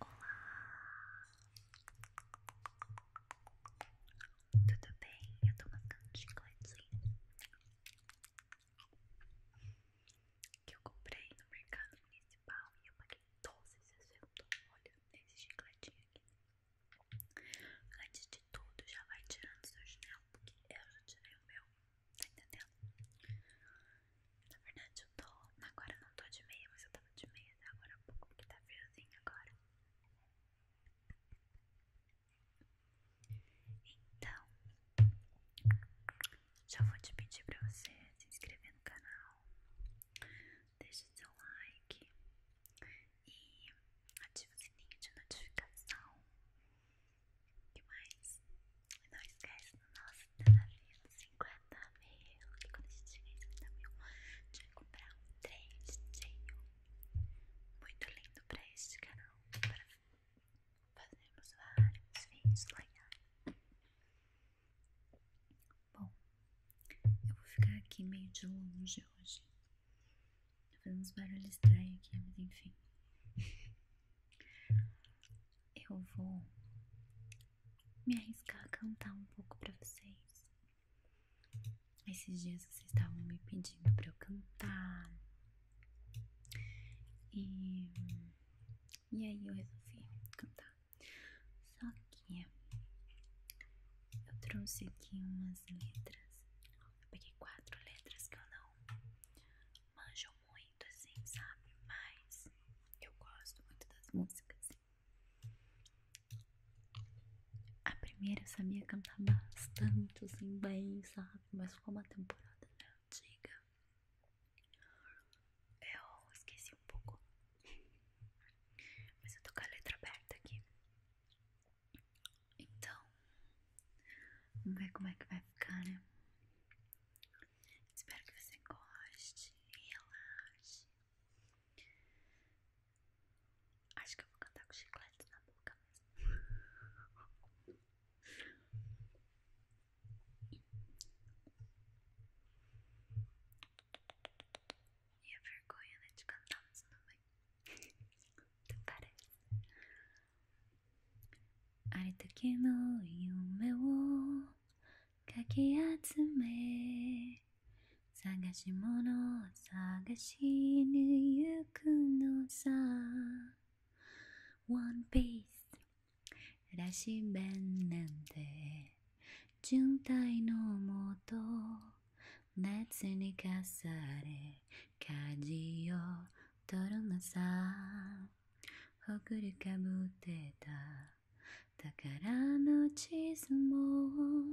Olá! Tudo bem? Eu tô marcando chicletezinho que eu comprei no mercado municipal e eu paguei 12,60. Olha esse chicletinho aqui. Antes de tudo, já vai tirando seu chinelo, porque eu já tirei o meu. Tá entendendo? Na verdade eu tô. Agora não tô de meia, mas eu tava de meia até agora pouco, porque tá friozinho agora. Então, já vou te pedir pra você se inscrever no canal, deixe seu like e ativa o sininho de notificação. O mais? Não esquece nossa, nosso navio dos 50 mil. E quando a gente chegar em 50 mil, a gente vai comprar um trem muito lindo pra este canal. Para fazermos vários vídeos legais. Bom, eu vou ficar aqui meio de longe hoje. Tô fazendo uns barulhos estranhos aqui, mas enfim eu vou me arriscar a cantar um pouco para vocês. Esses dias vocês estavam me pedindo para eu cantar. E, e aí eu resolvi cantar. Só que eu trouxe aqui umas letras. Eu peguei quatro letras que eu não manjo muito muito assim, sabe? Mas eu gosto muito das músicas. A primeira eu sabia cantar tá bastante, assim, bem, sabe? Mas como a temporada antiga, eu esqueci um pouco. Mas eu tô com a letra aberta aqui. Então, vamos ver como é que vai ficar, né? Espero que você goste e relaxe. Acho que eu vou cantar com chiclete na boca E a vergonha né, de cantar não também. Até parece. ありときの夢をかき集め探し物を探しに行くのさ One Piece らし弁なんて純体のもと熱にかされ舵を取るのさほくりかぶってた宝の地図も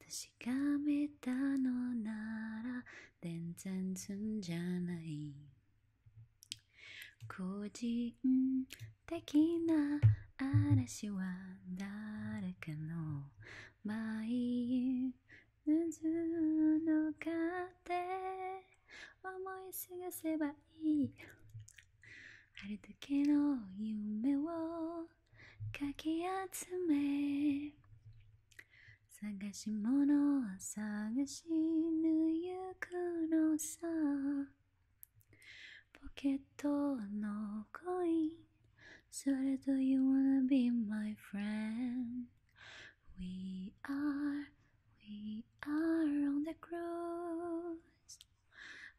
確かめたのなら全然すんじゃない個人的な嵐は誰かの舞渦の風思い過ごせばいいあるだけの夢をかき集め探し物を探しぬゆくのさポケットのコインそれと You wanna be my friend We are We are on the cruise.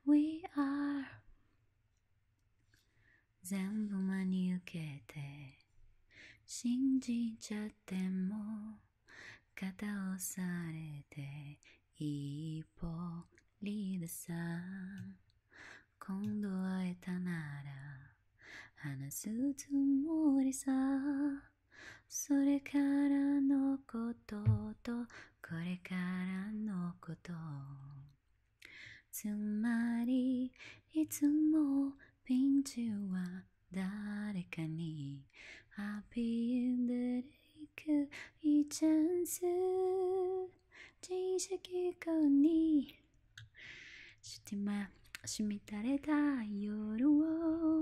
We are. 全部真に受けて信じちゃっても肩をされていい歩リードさ今度会えたなら話すつもりさそれからのこととこれからのことつまりいつもピンチは誰かにアピールできるいいチャンス知識化にしてましみたれた夜を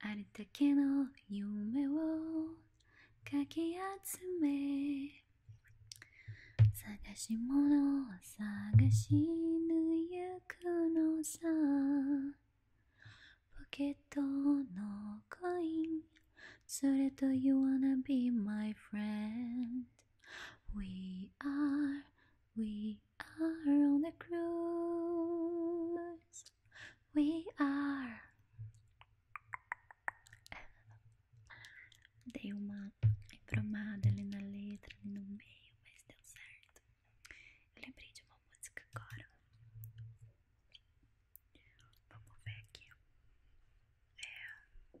あるだけの夢をかき集め探し物を探しぬゆくのさポケットのコインそれと You wanna be my friend We are, we are on the cruise we are. Dei uma embromada ali na letra, no meio, mas deu certo. Eu lembrei de uma música agora. Vamos ver aqui. É. Não.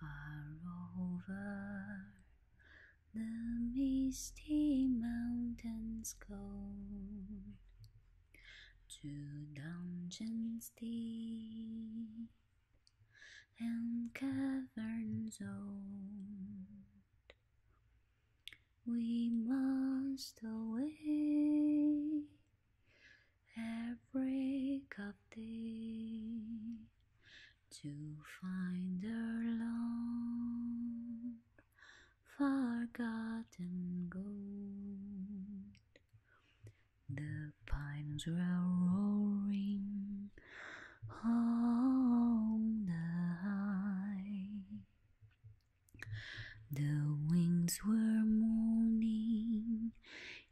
Far over the misty mountains go to dungeons deep and caverns old. We must away at break of to find her long forgotten gold. The pines were roaring on the high. The winds were moaning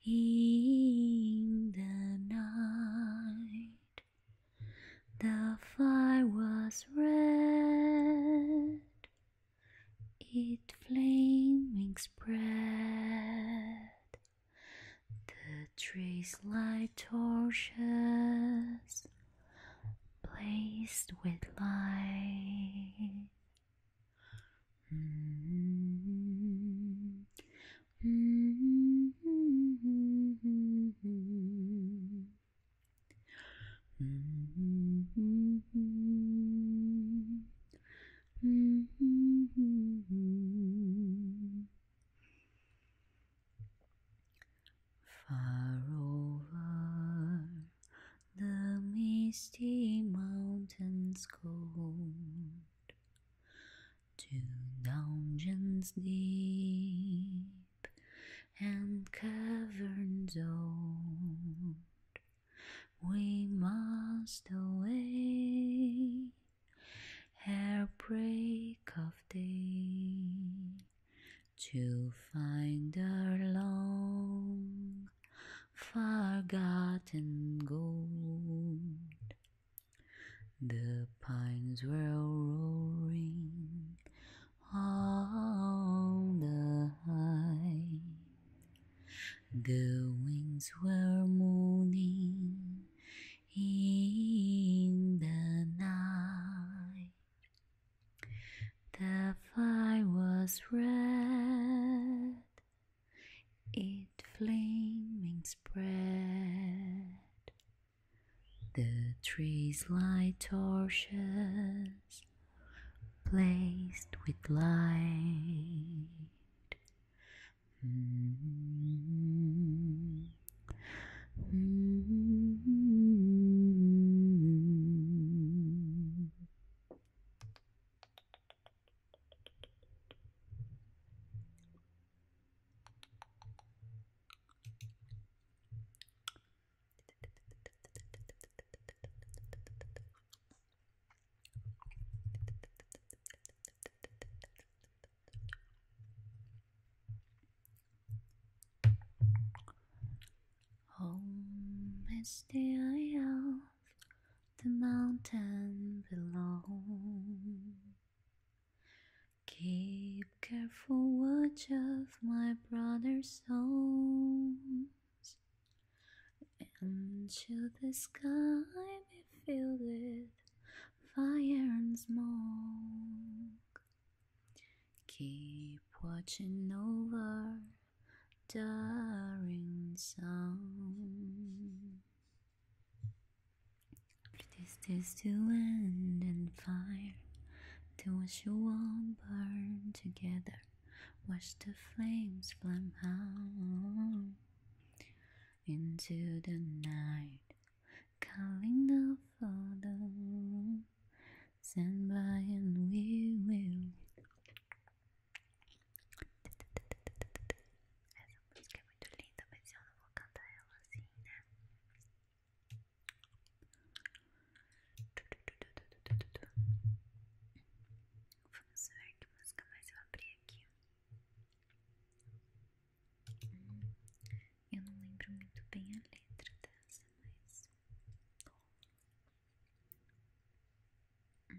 in the night. The fire was red, it flaming spread. The trees like torches blazed with light. Far over the misty mountains go to dungeons deep and caverns old. We must away ere break of day to find our long forgotten gold. The pines were roaring on the high. The winds were moaning in the night. The fire was red it flaming spread. The trees light torches placed with light. Hmm. Hmm. Home is the isle the mountain below. Keep careful watch of my brother's souls. Into the sky be filled with fire and smoke. Keep watching over the son. Place this to land and fire, to watch you all burn together. Watch the flames flame out into the night, calling the Father. Stand by and we will Essa música é muito linda, mas eu não vou cantar ela assim, né? Vamos ver que música mais eu abri aqui. eu não lembro muito bem a letra dessa, mas. Hum,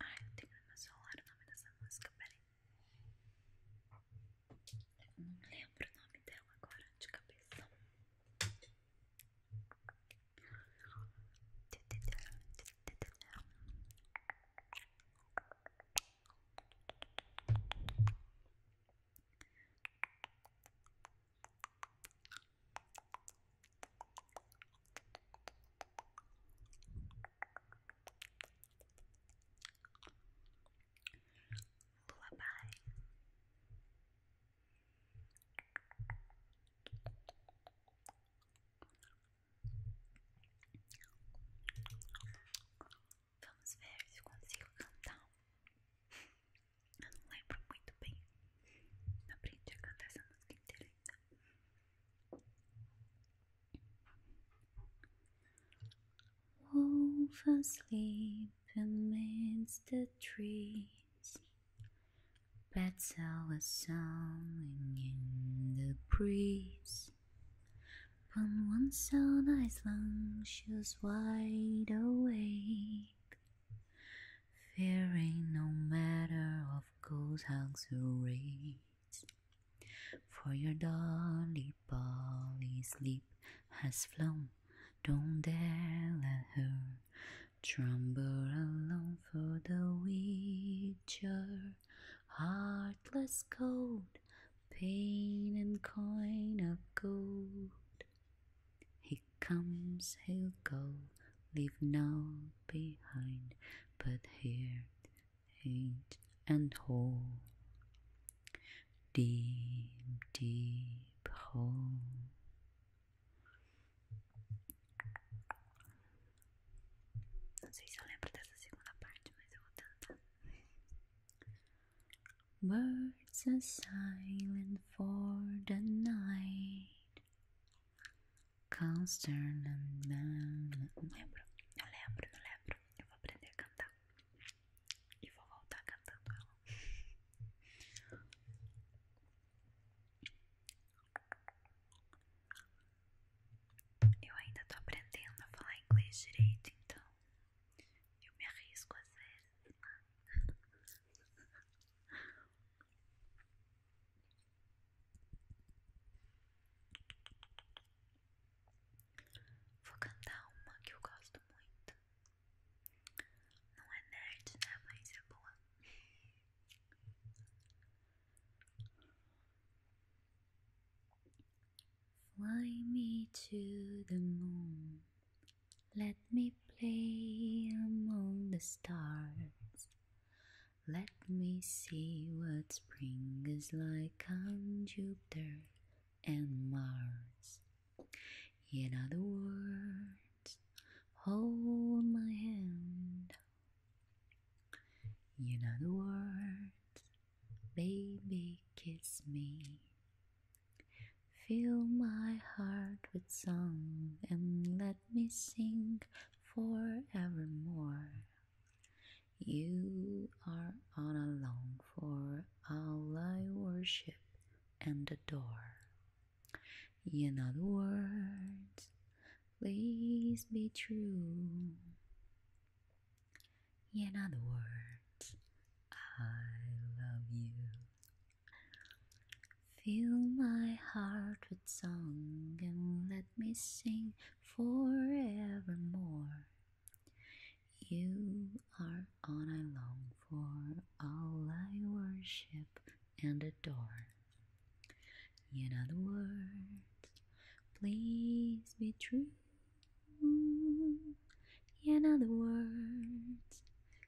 Ai, eu tenho no meu celular o nome dessa música, peraí. Eu não lembro o nome dela agora de cabeça. Lullaby Vamos ver se consigo cantar Eu não lembro muito bem Aprendi a cantar essa música inteira Wolf asleep amidst the trees. Bats are sounding in the breeze. Upon once side Iceland, she was wide awake fearing no matter of gold hugs or rays. For your dolly Polly sleep has flown, don't dare let her tremble along for the witcher. Heartless cold, pain and coin of gold. He comes, he'll go, leave none behind, but here, hate and whole. Deep, deep hole. Não sei se eu lembro dessa segunda parte, mas eu vou tentar. Birds are silent for the night. Concern. Não lembro, eu lembro, eu lembro. Eu vou aprender a cantar. E vou voltar cantando ela. Eu ainda tô aprendendo a falar inglês direito, então eu me arrisco a vezes. Né? Vou cantar uma que eu gosto muito. Não é nerd, né? Mas é boa. Fly me to the moon. Let me play among the stars. Let me see what spring is like on Jupiter and Mars. In other words, hold my hand. In other words, baby, kiss me. Fill my heart with song and let let me sing forevermore. You are all alone, for all I worship and adore. In other words, please be true. In other words, I love you. Fill my heart with song and let me sing forevermore. You are all I long for, all I worship and adore. In other words, please be true. In other words,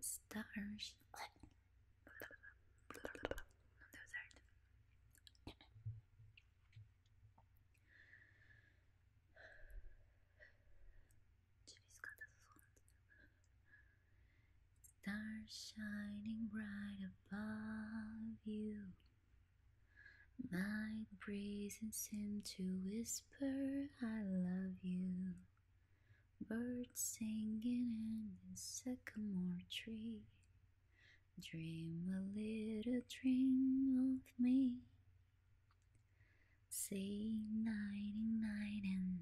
Stars. Stars shining bright above you. Night breezes seem to whisper, I love you. Birds singing in the sycamore tree. Dream a little dream of me. Say nighty night and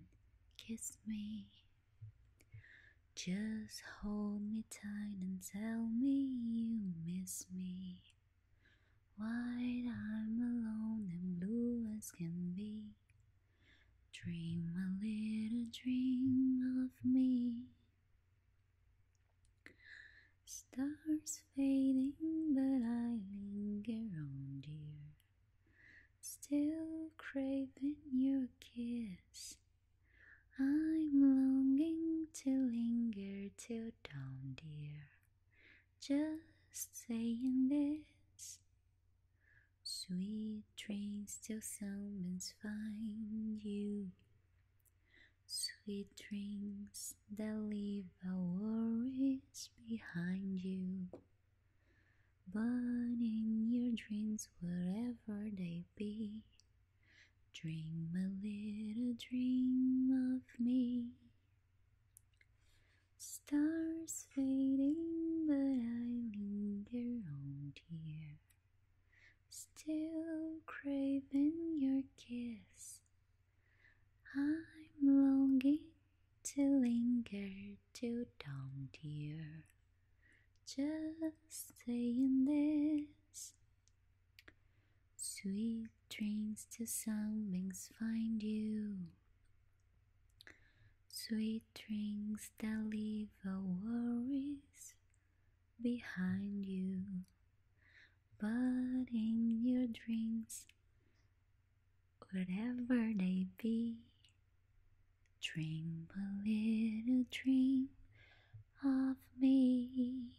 kiss me. Just hold me tight and tell me you miss me. While I'm alone and blue as can be, Dream a little dream of me. Stars fading, but I linger on, dear. Still craving your kiss. I'm longing to linger till dawn, dear. Just saying this Sweet dreams till summons find you. Sweet dreams that leave our worries behind you. But in your dreams, wherever they be, dream a little dream of me. Stars fading, but I linger on here. Still craving your kiss. I'm longing to linger to don't dear. Just saying this. Sweet dreams till something's find you. Sweet dreams that leave our worries behind you, but in your dreams, whatever they be, dream a little dream of me.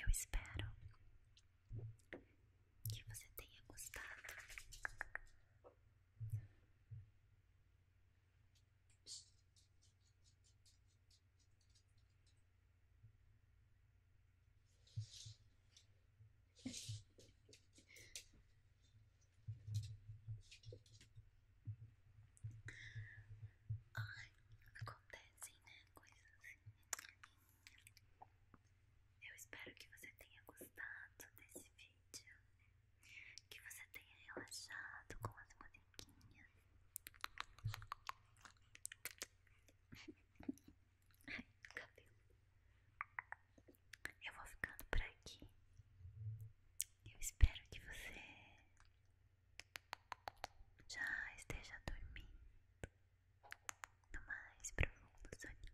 Eu espero que você tenha gostado. Ai, acontecem, né? Coisas Eu espero que você tenha gostado desse vídeo. Que você tenha relaxado com as musiquinhas. Ai, cabelo eu vou ficando por aqui. Eu espero que você já esteja dormindo no mais profundo soninho.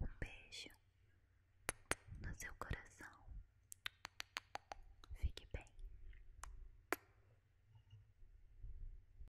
Um beijo no seu coração. Fique bem.